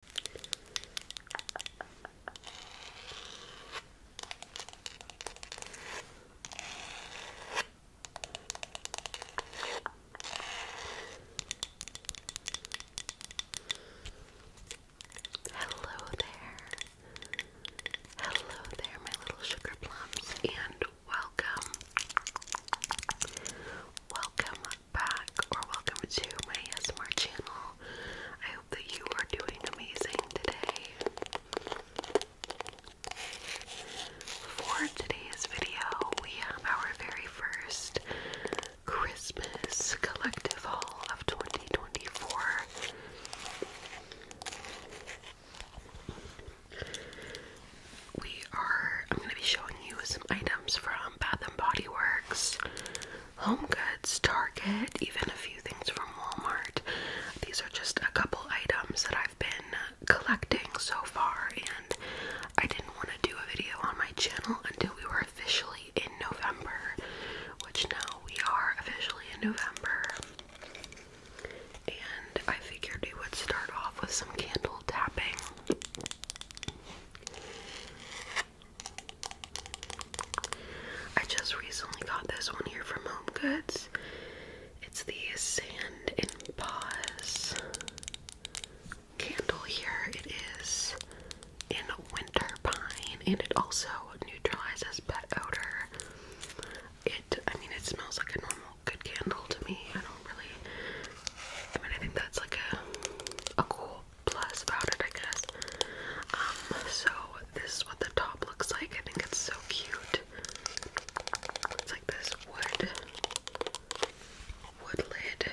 Hello there. Hello there, my little sugar and welcome. Welcome, back or welcome to my ASMR channel. I hope that you are doing amazing today. For today's video, we have our very first Christmas collective haul of 2024. We are, I'm going to be showing you some items from Bath and Body Works. Home Goods, Target, even a few things from Walmart. These are just a couple items that I've been collecting so far, and I didn't want to do a video on my channel until we were officially in November, which now we are officially in November. And I figured we would start off with some candle tapping. I just recently got this one here from Home Goods. It's the Sand and Paws candle here. It is in winter pine and it also neutralizes pet odor. It, I mean, it smells like a normal good candle to me. I don't really, I mean, I think that's like a cool plus about it, I guess. Um, so this is what the top looks like. I think it's so cute. It's like this wood wood lid.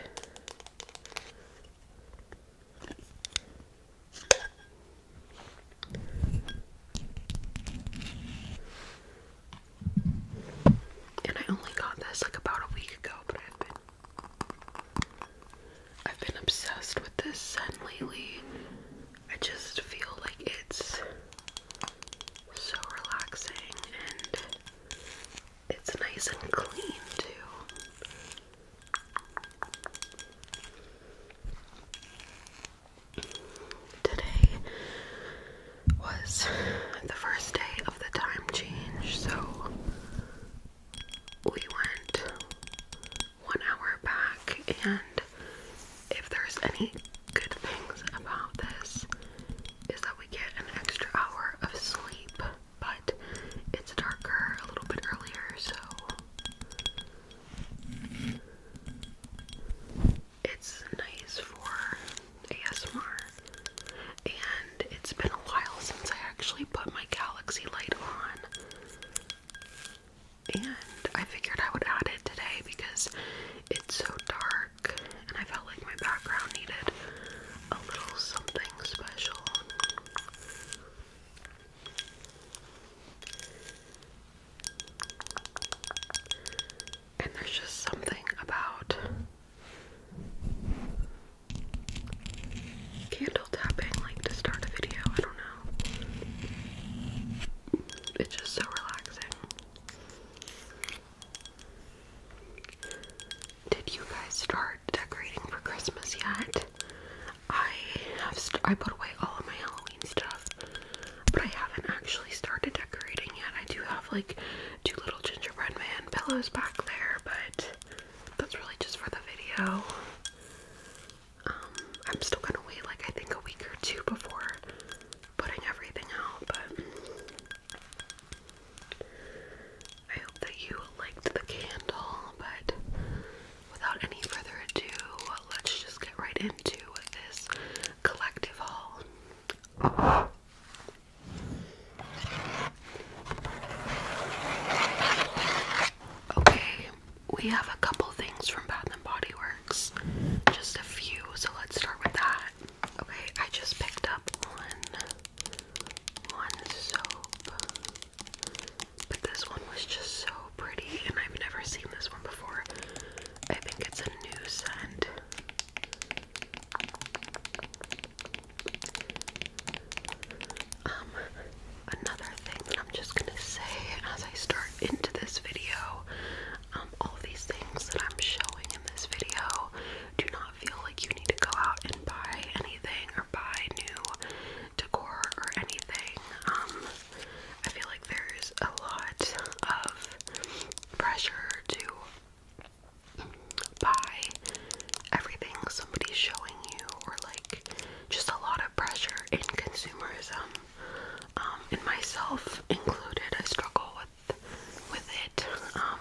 And I only got this like about a week ago, but I've been I've been obsessed with this scent lately. I just feel like it's so relaxing and it's nice and clean too. Today was the first day of the time change, so we went one hour back, and if there's any good things about this, is that we get an extra hour of sleep, but it's darker a little bit earlier, so it's nice for ASMR it's been a while since I actually put my galaxy light on. And I figured I would add it today because it's so dark and I felt like my background needed a little something special. And there's just something about candle tapping like to start a video. I don't know. It's just so relaxing. Did you guys start decorating for Christmas yet? I have st I put away all of my Halloween stuff, but I haven't actually started decorating yet. I do have like two little gingerbread man pillows back there, but that's really just for the video. Um, I'm still gonna wait like I think a week or two before putting everything out, but I hope that you liked the candle. But without any further ado, let's just get right into this collective haul. Okay, we have a couple things from Bath and Body Works, just a few, so let's start with that. Okay, I just picked up one one soap, but this one was just so pretty, and I've never seen this one before. I think it's a new scent. Um, another thing that I'm just gonna say as I start into this video, um, all these things that I'm showing in this video do not feel like you need to go out and buy anything or buy new decor or anything. Um, I feel like there's a lot of pressure to by everything somebody's showing you, or like just a lot of pressure in consumerism. Um, and myself included, I struggle with with it. Um,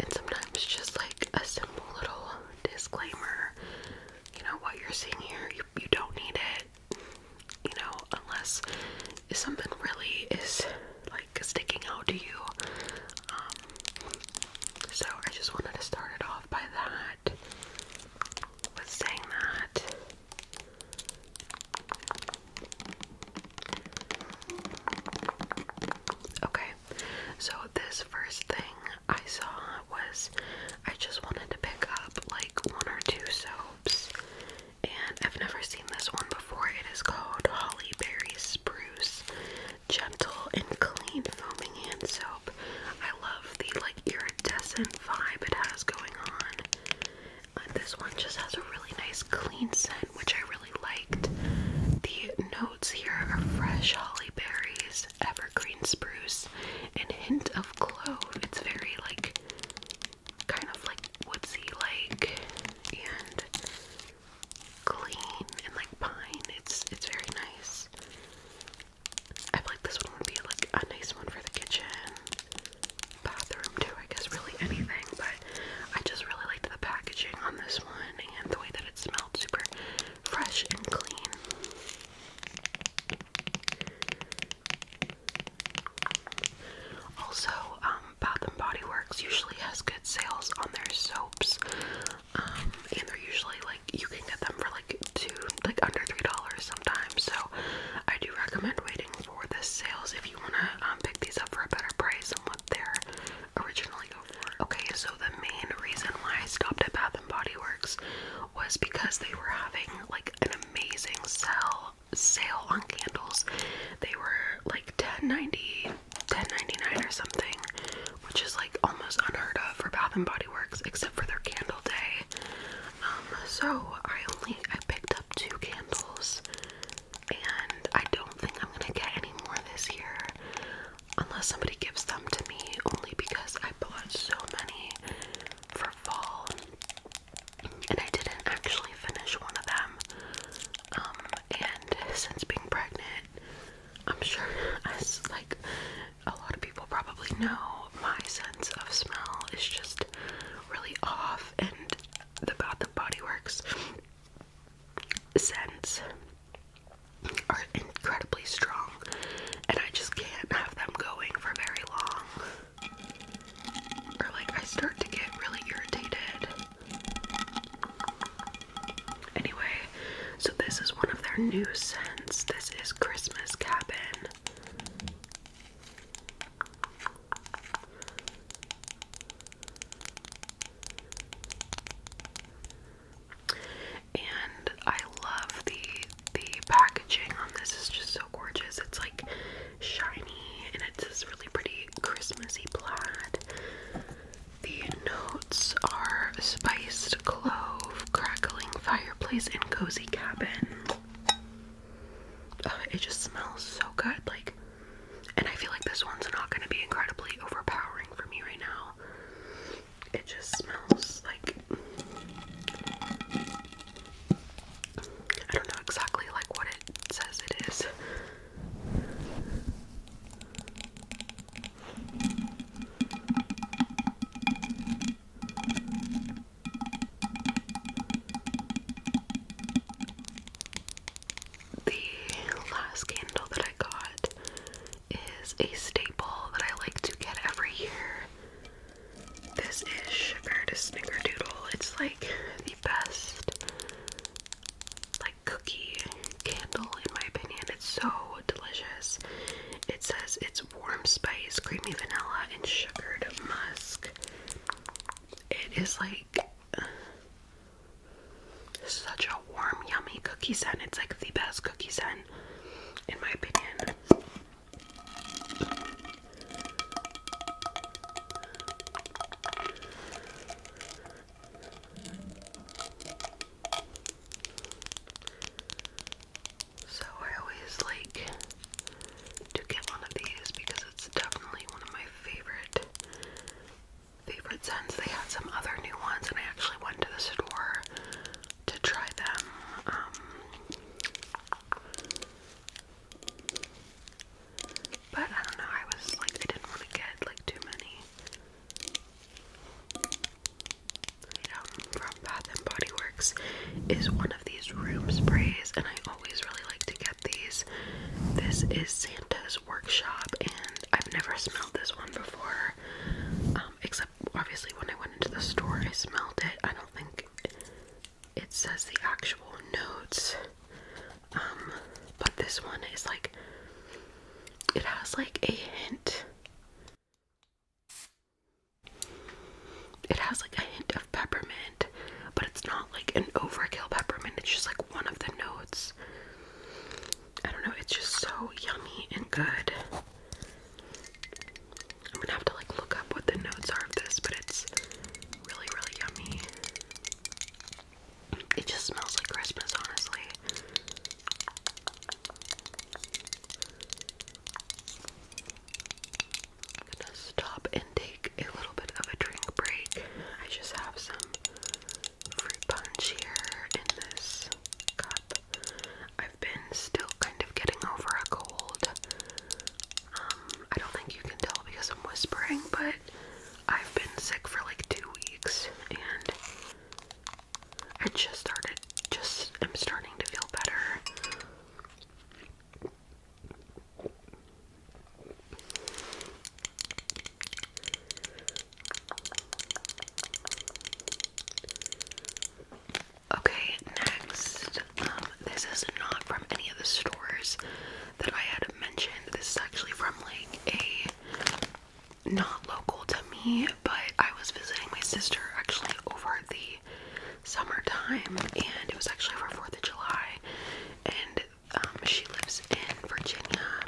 and sometimes just like a simple little disclaimer, you know what you're seeing here, you you don't need it. You know, unless something really is like sticking out to you, um, so I just wanted to start it off by that, with saying that. Okay, so this first thing I saw was I just wanted to pick up like one or two soaps, and I've never seen this one before. It is called Holly Berry Spruce gentle and clean foaming hand soap. I love the like iridescent vibe it has going on. Uh, this one just has a really nice clean scent, which I really liked. The notes here are fresh holly berries, evergreen spruce, and hint of clove. It's very like kind of like woodsy like and clean and like pine. It's it's very nice. I feel like this one would be like a nice one for the kitchen, bathroom too. I guess really anything, but I just really liked the packaging on this one and the way that it smelled super fresh and clean. Also, um, Bath and Body Works usually has good sales on their soaps. Um, and they're usually like you can get them for like two, like under three dollars sometimes. So I do recommend waiting for the sales if you want to um, pick these up for a better price than what they're originally go Okay, so the main reason why I stopped at Bath and Body Works was because they were having like an amazing sell sale on candles. They were like 10 90 10.99 or something, which is like almost unheard of for Bath and Body Works, except for their candle day. Um, so I only I picked up two candles, and I don't think I'm gonna get any more this year, unless somebody gives them to me. Only because I bought so many for fall, and I didn't actually finish one of them. Um, and since being pregnant, I'm sure, as like a lot of people probably know, my sense of smell is just really off, and the Bath and Body Works scents are incredibly strong, and I just can't have them going for very long, or like I start to get really irritated. Anyway, so this is one of their new scents. This is Christmas Cabin. And I love the the packaging on this is just so gorgeous. It's like shiny and it's this really pretty Christmassy plaid. The notes are spiced clove, crackling fireplace, and cozy cabin. it just smells so good, like, and I feel like this one's not going to be incredibly overpowering for me right now. It just smells like I don't know exactly like what it says it is. The last candle that I got is a staple that I like to get every year. This is Sugar to Snickerdoodle. It's like the best cookie candle in my opinion. It's so delicious. It says it's warm spice, creamy vanilla, and sugared musk. It is like such a warm, yummy cookie scent. It's like the best cookie scent, in my opinion. So I always like to get one of these because it's definitely one of my favorite favorite scents. They had some other new ones and I actually went to the store to try them. Um but I don't know, I was like I didn't want to get like too many from Bath and Body Works is one of these room sprays, and I always really like to get these. This is Santa's Workshop, and I've never smelled this one before, um, except obviously when I went into the store, I smelled it. I don't think it says the actual notes, um, but this one is like it has like a hint. It has like a hint of peppermint, but it's not like an overkill peppermint. It's just like one of the notes. I don't know, it's just so yummy and good. I'm gonna have to like look up what the notes are of this, but it's really, really yummy. It just smells like Christmas, honestly. gonna stop and take a little bit of a drink break. I just have some fruit punch here in this cup. I've been still kind of getting over a cold. Um, I don't think you can tell because I'm whispering, but I've been sick for like two weeks and I just started, just i am starting to feel better. Okay, next. Um, this is not from any of the stores that I had mentioned. This is actually from like a not local to me, but I was visiting my sister actually over the summertime, and it was actually for 4th of July, and um, she lives in Virginia,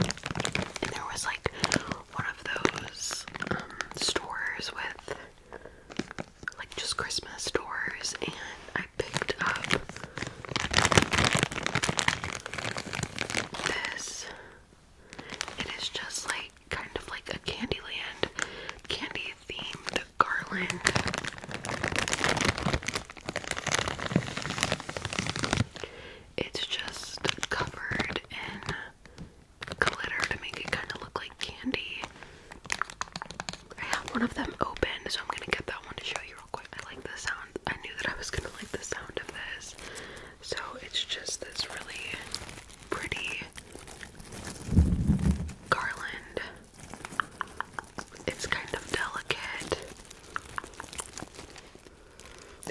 and there was like one of those um, stores with like just Christmas stores, and I picked up this it is just like kind of like a Candyland candy themed garland. It's just covered in glitter to make it kind of look like candy. I have one of them open, so I'm gonna get that one to show you real quick. I like the sound. I knew that I was gonna like the sound of this. So it's just this really pretty garland. It's kind of delicate.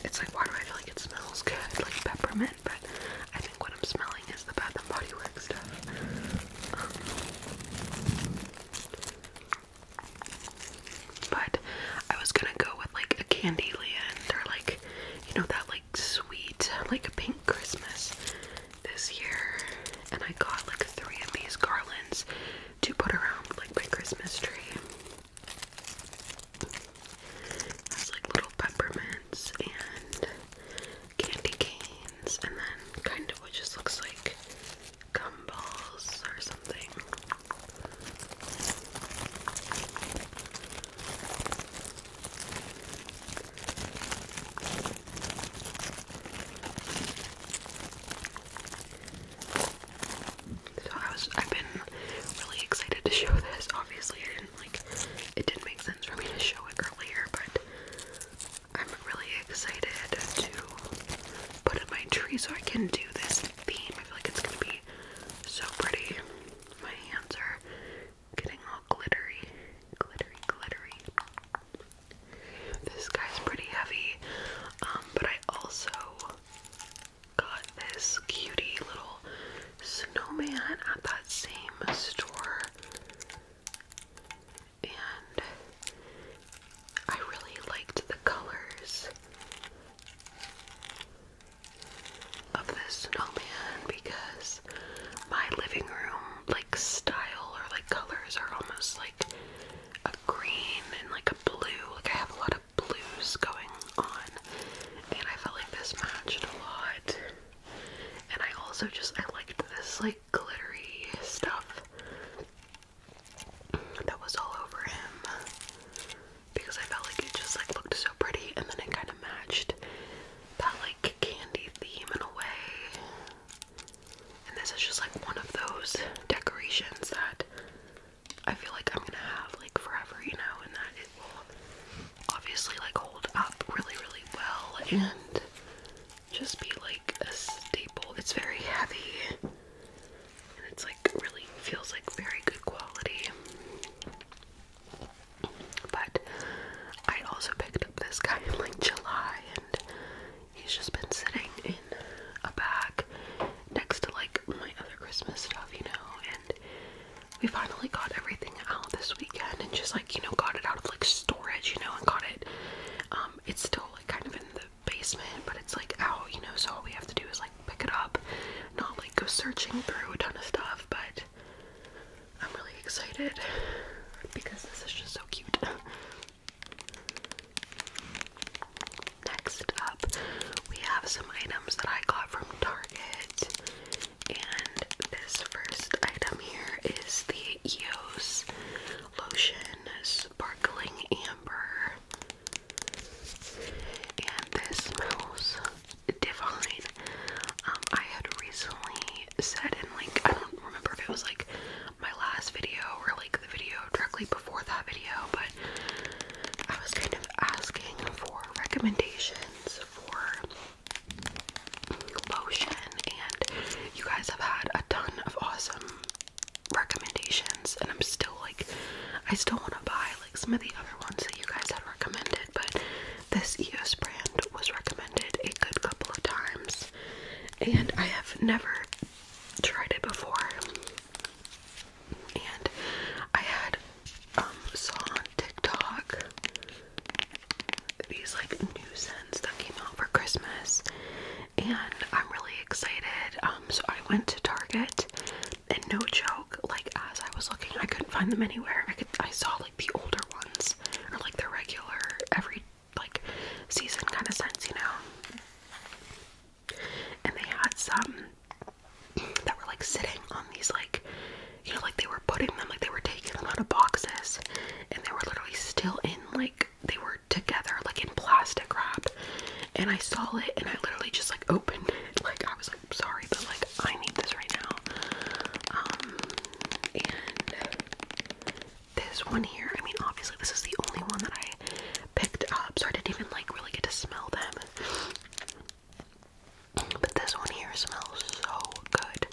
It's like, why do I feel like it smells good? Like peppermint, but I think what I'm smelling is the Bath and Body Works stuff. But I was gonna go with like a candy land or like you know that like sweet like a pink Christmas this year and I got like three of these garlands to put around like my Christmas tree. It has like little peppermints and candy canes and then kind of what just looks like gumballs or something. So I was I've been really excited to show this. Obviously it didn't make sense for me to show it earlier, but I'm really excited to put in my tree so I can do this theme. I feel like it's gonna be so pretty. My hands are getting all glittery. Glittery, glittery. This guy's pretty heavy. Um, but I also got this cutie little snowman at that same store. And I really liked the colors of this snowman because my living room like style or like colors are almost like a green and like a blue. Like I have a lot of blues going on and I felt like this matched a lot. And I also just I liked this like glittery stuff that was all over him because I felt like it just like looked so pretty and then it kind of matched that like candy theme in a way. And this is just like one of those decorations that I feel like I'm gonna have like forever, you know, and that it will obviously like hold up really, really well and just be like a staple. It's very heavy and it's like like really feels like very good quality. But I also picked up this guy in like July and he's just been sitting in a bag next to like my other Christmas stuff, you know, and we finally got everything out this weekend and just like, you know, got it out of like storage, you know, and got it um it's still like kind of in the basement, but it's like out, you know, so all we have to do is like pick it up, not like go searching through a ton of stuff, but I'm really excited because this is just so cute. Next up, we have some items that I got from Target, and this first item here is the EOS Lotion Sparkling Amber and this smells divine. Um, I had recently said in like I don't remember if it was like my last video or like the video directly before that video, but I was kind of asking for recommendations for lotion, and you guys have had a ton of awesome recommendations, and I'm still like, I still want to buy like some of the other ones that you guys had recommended, but this EOS brand was recommended a good couple of times, and I have never tried it before. And I had um saw on TikTok these like new scents that came out for Christmas, and I'm really excited. Um, so I went to Target and no joke, like as I was looking, I couldn't find them anywhere. I could I saw like the older ones or like the regular every like season kind of scents, you know. And they had some that were like sitting on these like you know like they were putting them like they were taking them out of boxes and they were literally still in like they were together like in plastic wrap and I saw it and I literally just like opened it. Like I was like sorry but like I need this right now. Um and this one here, I mean obviously this is the only one that I picked up, so I didn't even like really get to smell them. But this one here smells so good.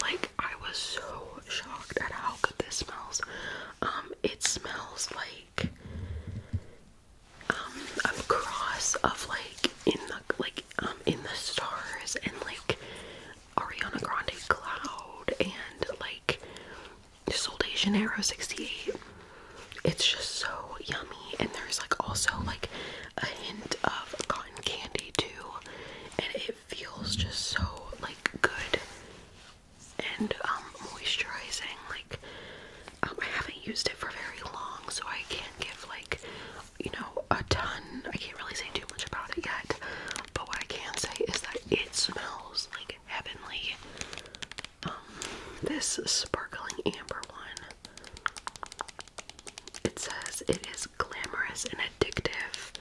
Like I was so shocked at how good this smells. Um, it smells like um, a cross of like in the like um in the stars and like Ariana Grande Cloud and like Sol de Janeiro 68. It's just so yummy and there's like also like a hint of cotton candy too and it feels just so like good and um moisturizing like um, I haven't used it for very long, so I can't give like you know a ton. I can't really say too much about it yet. But what I can say is that it smells like heavenly. Um, this sparkling amber one. It says it is glamorous and addictive.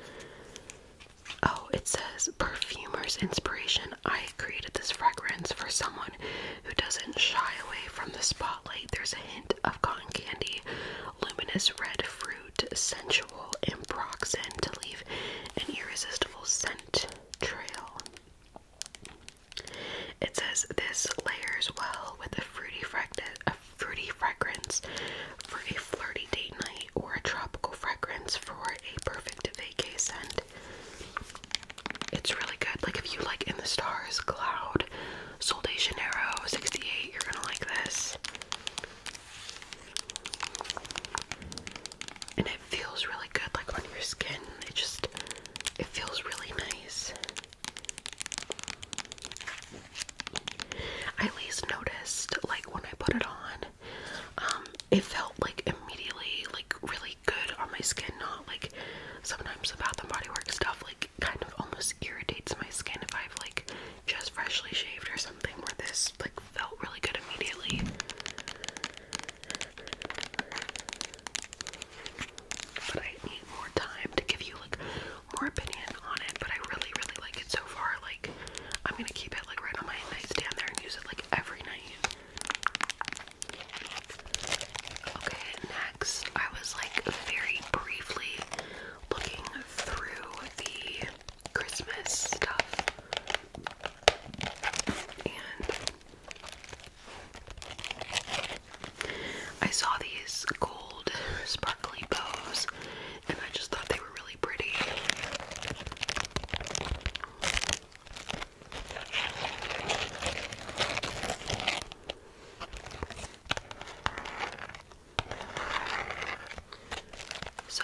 Oh, it says perfumer's inspiration. I created this fragrance for someone who doesn't shy away from the spotlight. There's a hint of cotton candy, luminous red fruit, sensual and proxen to leave an irresistible scent trail. It says this layers well with a fruity fragrance, fruity for a flirty date night, or a tropical fragrance for a perfect vacation. scent. It's really good. Like if you like In the Stars, Cloud, Sol de Janeiro, 68, you're gonna like this. And it feels really good like on your skin. It just it feels really nice. I at least noticed like when I put it on, um, it felt like immediately like really good on my skin, not like sometimes the Bath and Body Works stuff like kind of almost irritates my skin if I've like just freshly shaved or something where this like felt really good immediately. But I need more time to give you like more opinion on it, but I really, really like it so far. Like I'm gonna keep it like right on my nightstand there and use it like every night. Okay, next, I was like very briefly looking through the Christmas stuff, and I saw these gold sparkly bows, and I just thought they were really pretty. So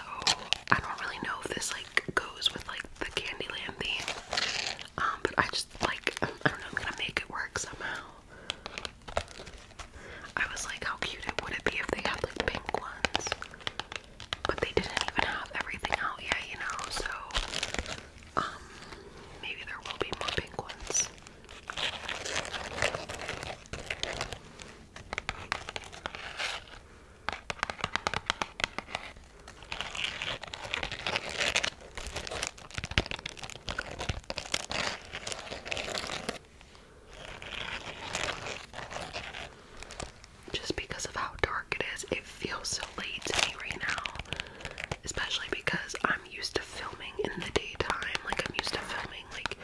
I don't really know if this like goes with like the Candyland theme, um, but I just like I don't know. I'm gonna make it work somehow. I was like, how cute it would it be if they had like pink ones, but they didn't even have everything out yet, you know. So um, maybe there will be more pink Just because of how dark it feels so late to me right now, especially because I'm used to filming in the daytime. Like, I'm used to filming like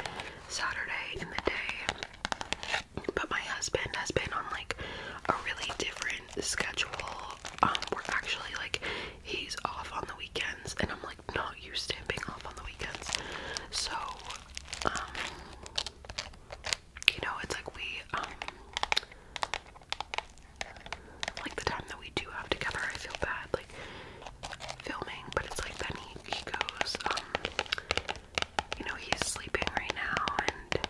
Saturday in the day, but my husband has been on like a really different schedule. Um, we're actually like he's off on the weekends, and I'm like not used to being off on the weekends, so um, you know, it's like we um like the time that we do have together, I feel bad like filming, but it's like then he, he goes, um, you know, he's sleeping right now, and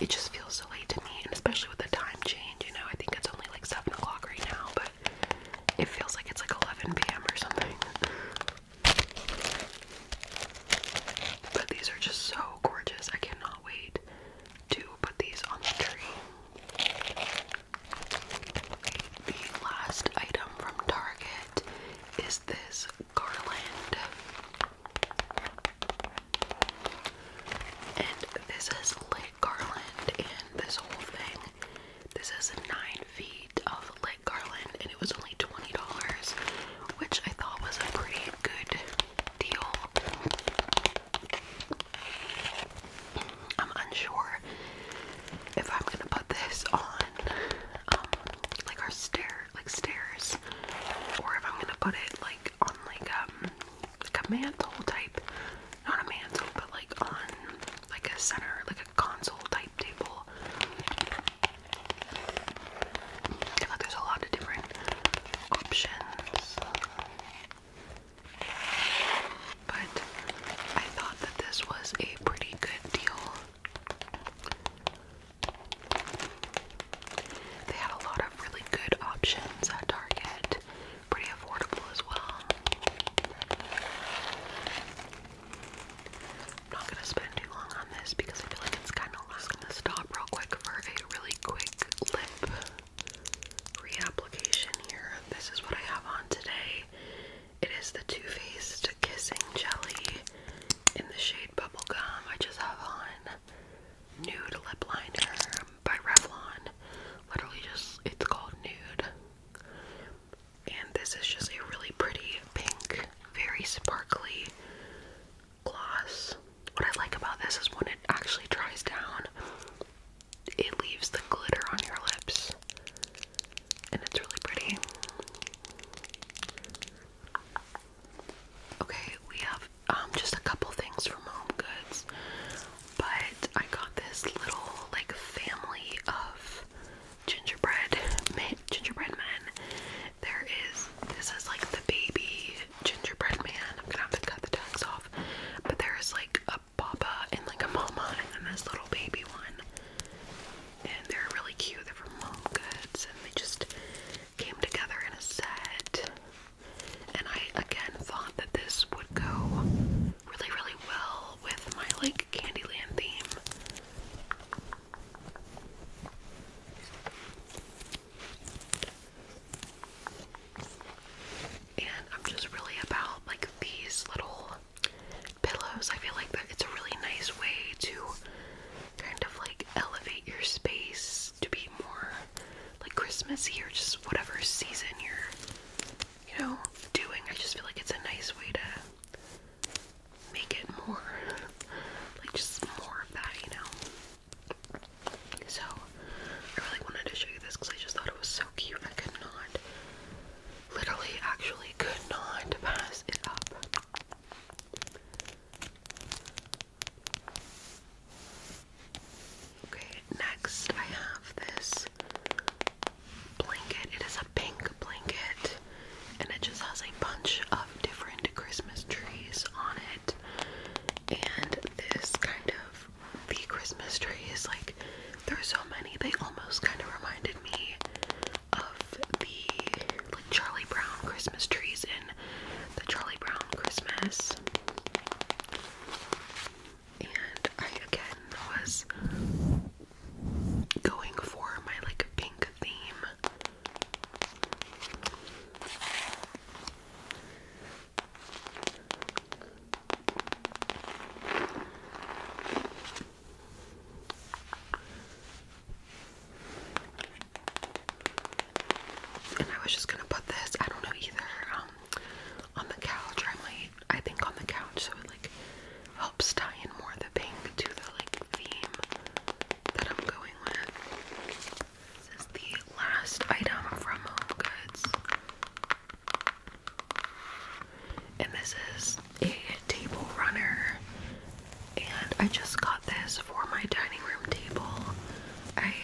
it just feels so late to me, and especially with the time change, you know, I think it's only like 7 o'clock right now, but it feels like it's like 11 p.m. or something. But these are just so gorgeous. I cannot wait to put these on the tree. The last item from Target is this garland. And this is lit garland and this whole thing. This is nine feet of lit garland and it was only $20, which I thought was a pretty good deal. I'm unsure if I'm gonna put this on um, like our stair like stairs or if I'm gonna put it like on like um like a mantle type not a mantle but like on like a center like a console type table. like there's a lot of different options. But I thought that this was a pretty good deal. They had a lot of really good options at Target, pretty affordable as well. I'm not gonna spend too long on this because I feel like it's kind of I'm gonna stop real quick for a really quick lip reapplication here. This is what I have on today. It is the Too Faced Kissing Jelly in the shade Bubblegum. I just have on nude lip liner by Revlon. Literally just, it's called nude. And this is just a really pretty pink, very sparkly gloss. What I like about this is when it actually dries down, it leaves the glitter on your lips, and it's really pretty. Okay, we have um, just a couple things from Home Goods, but I got this little like family of gingerbread men, gingerbread men. There is this is like the baby gingerbread man. I'm gonna have to cut the tags off. But there is like a papa and like a mama and then this little baby one. And they're really cute. They're from Mom Goods and they just came together in a set. And I again thought that this would go really, really well with my like Candyland theme. And I'm just really about like these little pillows. I feel like that it's a really nice way to kind of like elevate your space to be more like Christmassy or just whatever season you're, you know, doing. I just feel like it's a nice way to make it more like just more of that, you know. So, I really wanted to show you this because I just thought it was so cute. I could not, literally, actually, could not pass it up. Okay, next I have this blanket. It is a pink blanket and it just has a bunch of different Christmas trees on it. And this kind of the Christmas tree is like there's so many they almost kind of reminded me of the like Charlie Brown Christmas trees in the Charlie Brown Christmas. And I again was going for my like pink theme. And I was just gonna put this, I don't know either, um, on the couch. I might, I think on the couch, so it like helps tie in more the pink to the like theme that I'm going with. This is the last item from Home Goods. And this is a table runner. And I just got this for my dining room table. I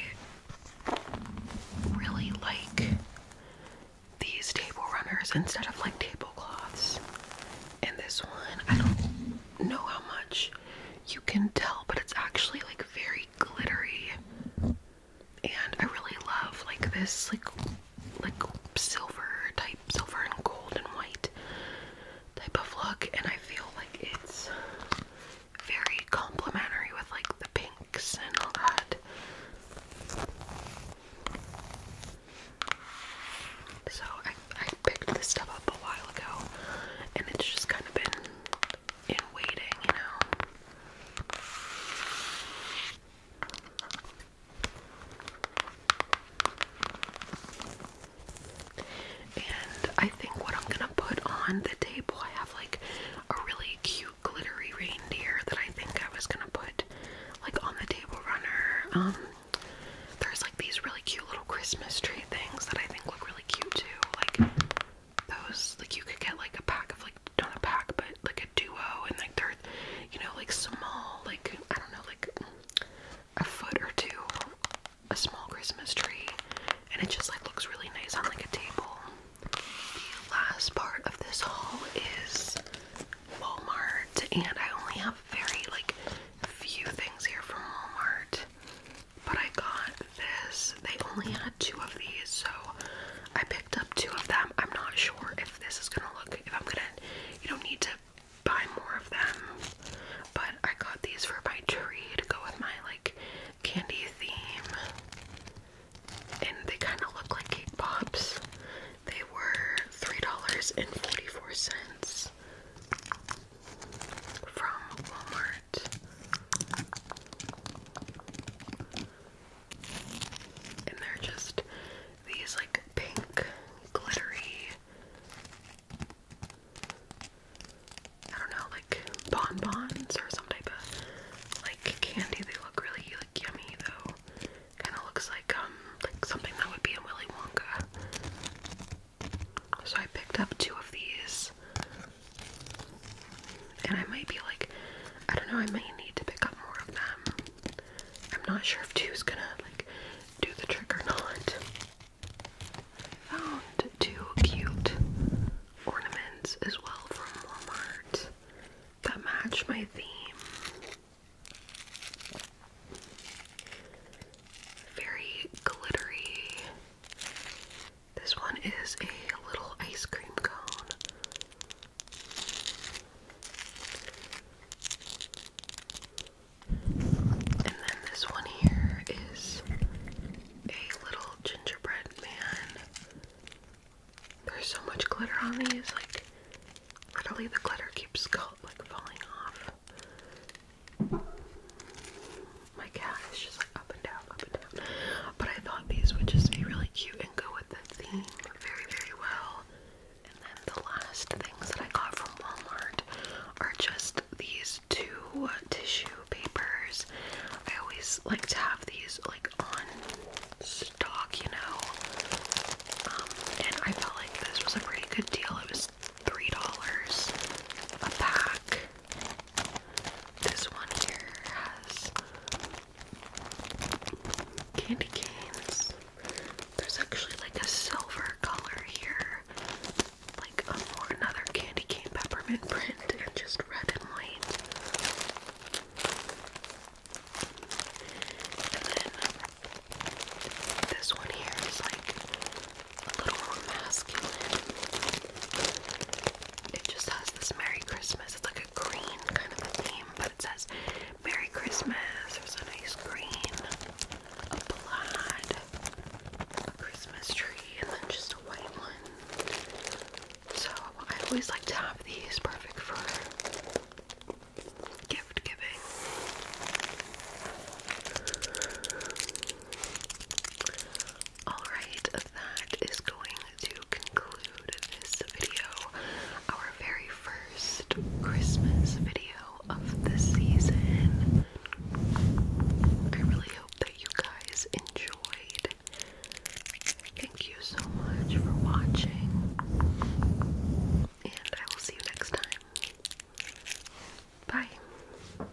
really like these table runners instead of like tablecloths. And this one, I don't know how much you can tell, but it's actually like very glittery. And I really love like this like like silver type silver and gold and white type of look and I feel like it's very complementary with like the pinks and all that. So I I picked this stuff up a while ago and it's just kind of been in waiting, you know. And I think what I'm gonna put on the table, I have like a really cute glittery reindeer that I think I was gonna put like on the table runner. Um, there's like these really cute little Christmas tree things that I think look really cute too. Like those like you could get like a pack of like not a pack but like a duo and like they're you know like small like I don't know like a foot or two a small Christmas tree and it just like looks really nice on like a table. The last part of this haul is Walmart and I only have very like few things here from Walmart but I got this. They only had two of these, so I picked up two of them. I'm not sure if this is gonna look, if I'm gonna, you don't need to buy more of them, but I got these for my tree to go with my like candy theme. And they kind of look like cake pops. They were $3.44 from Walmart. And they're just these like pink, glittery, I don't know, like bonbons or some type of like candy. They look really like yummy though. Kind of looks like um like something that would be in Willy Wonka. So I picked up two of these. And I might be like, I don't know, I might need to pick up more of them. I'm not sure if two is gonna like do the trick or not. Found two cute ornaments as well from Walmart that match my theme. Very glittery this one is a little ice cream cone. And then this one here is a little gingerbread man. There's so much glitter on these, like literally the glitter keeps like falling off. My cat is just up and down, up and down. But I thought these would just be really cute and go with the theme very, very well. And then the last things that I got from Walmart are just these two tissue papers. I always like to have these like on stock, you know. Um, and I felt like this was a pretty good deal. It was $3 a pack. This one here has candy canes. There's actually like a silver color here, like a more another candy cane peppermint print, and just red and white. And then this one here is like a little more masculine. It just has this Merry Christmas. It's like a green kind of a theme, but it says Merry Christmas. There's an ice cream, a plaid, a Christmas tree, and then just a white one. So I always like to have these perfect for gift giving. Alright, that is going to conclude this video, our very first Christmas video of the season. I really hope that you guys enjoyed. Thank you so much for watching, and I will see you next time. Bye.